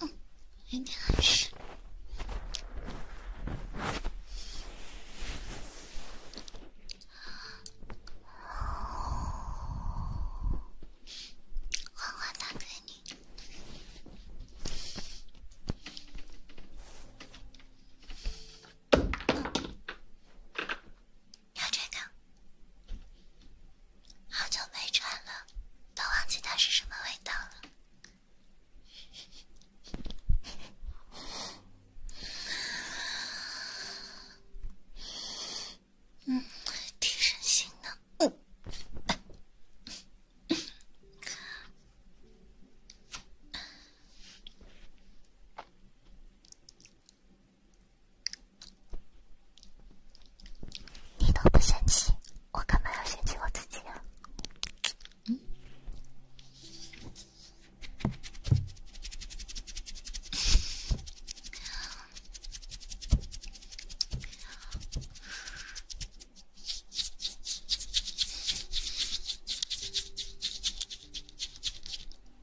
嗯，明天去。花花大哥，你。要这个，好久没穿了，都忘记它是什么味道了。嗯，提神醒脑。你都不嫌弃，我干嘛要嫌弃我自己呀？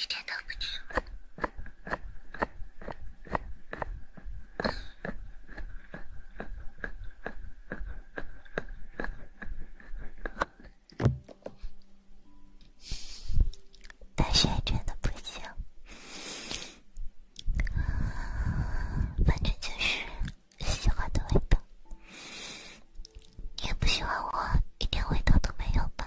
一点都不行，大学真的不行，反正就是什么都会做。你也不喜欢我一点味道都没有吧？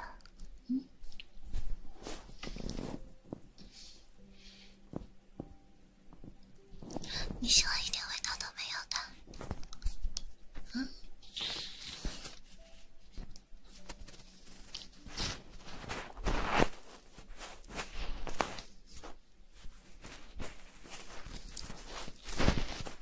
你喜欢一点味道都没有的，嗯？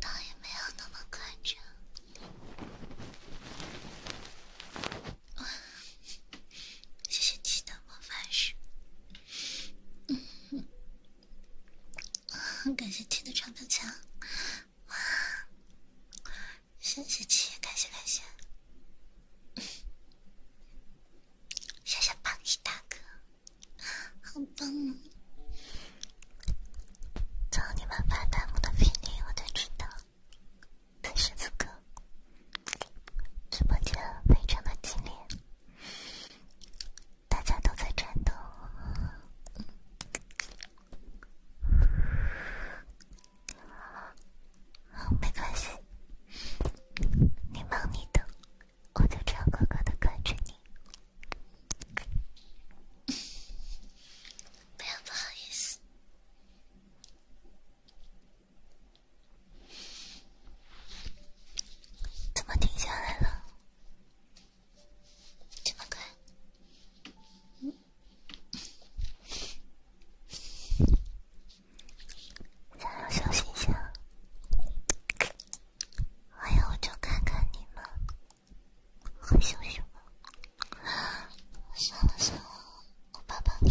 倒也没有那么夸张。谢谢七的魔法师，感谢七的长白墙，谢谢七，感谢感谢，谢谢榜一大哥，好棒！从你们发弹幕的频率，我就知道，此时此刻，直播间非常的激烈，大家都在战斗。没关系，你忙你的，我就这样乖乖的跟着你。不好意思，怎么停下来了？这么快？嗯，想要休息一下。哎呀，我就看看你们。很羞羞，算了算了，我爸爸的。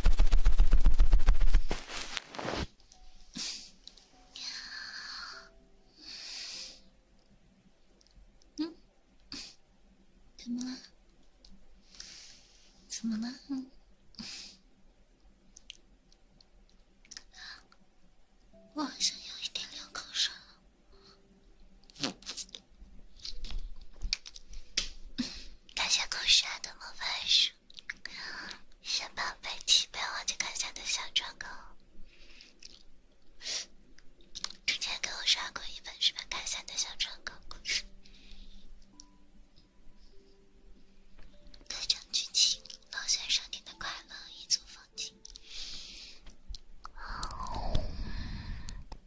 怎么了？怎么了？我好像有一点流口水。感谢故事的魔法书，小宝贝，别忘记看《三的小窗口》。之前给我刷过一本《十本开心的小窗口》故事，各章剧情：老选商店的快乐一组风景。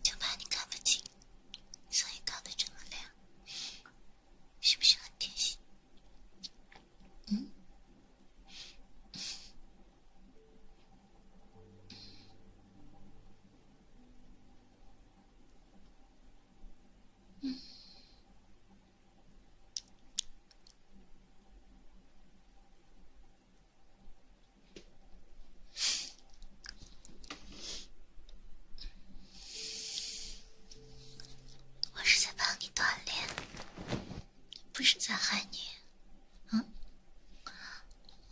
就怕你看不清。所以搞得这么亮，是不是很贴心？嗯。嗯。我是在帮你锻炼，不是在害你。嗯，我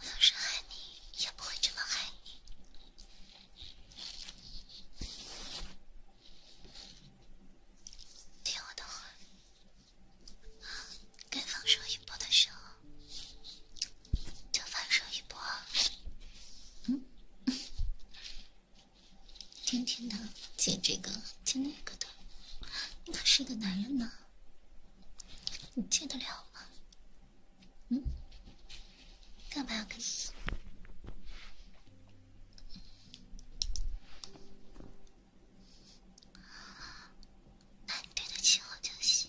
要伤害你，也不会这么害你。听我的话，该放手一步的时候。就放手一搏，嗯，天天的借这个借那个的，你可是一个男人呢，你借得了吗？嗯，干嘛要跟你？你对得起我就行。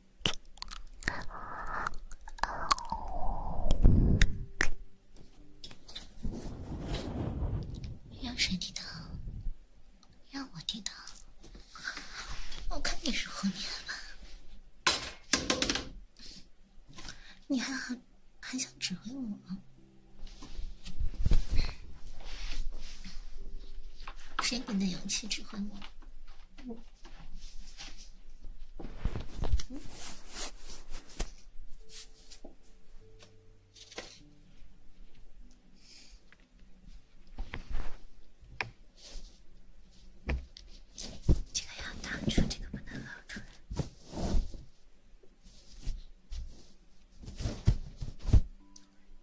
让谁低头？让我低头？我看你是哄你吧？你还很还想指挥我？谁给你的勇气指挥我？这个要挡住，这个不能露出来。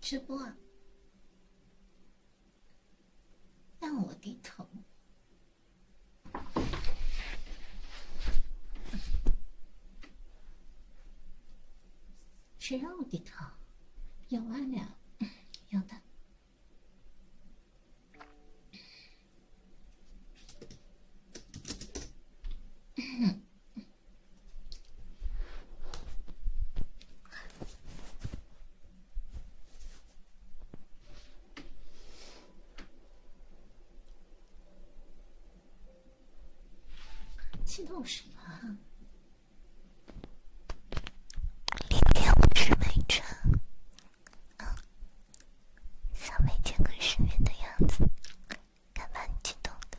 直播。让我低头，谁让我低头？有啊，俩 有的。激动什么？明天我去美陈。像没见过世面的样子，干嘛你激动的。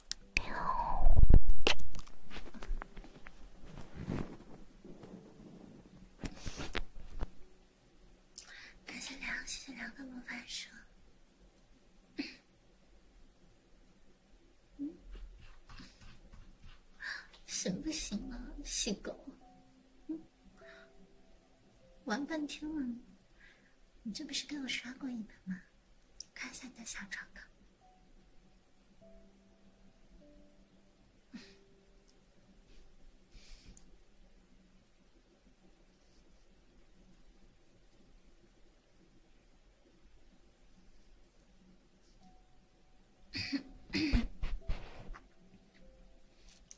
感谢梁，谢谢梁的魔法书。嗯，行不行啊，细狗？嗯，玩半天了，你这不是给我刷过一把吗？看一下你的小册。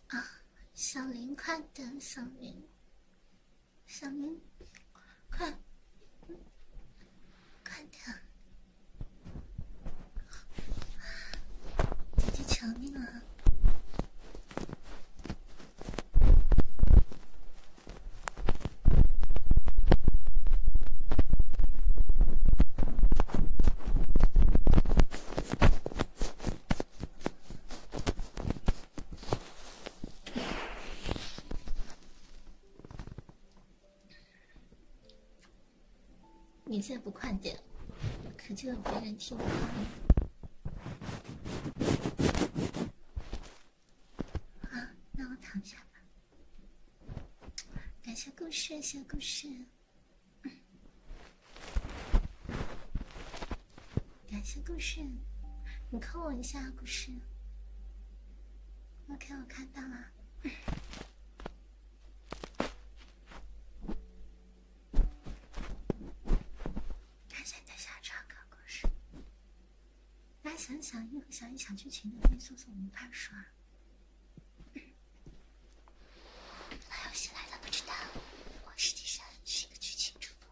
啊，小林，快点，小林。小明，快，快点！姐姐求你了。你再不快点，可就有别人听到了。好，那我躺下吧。感谢故事，谢谢故事。感谢故事，你扣我一下故事。OK，我看到了。感谢你的小窗故事。大家想想，一会想一想剧情的，可以搜索我们番书啊。那有新来的不知道，我实际上是一个剧情主播。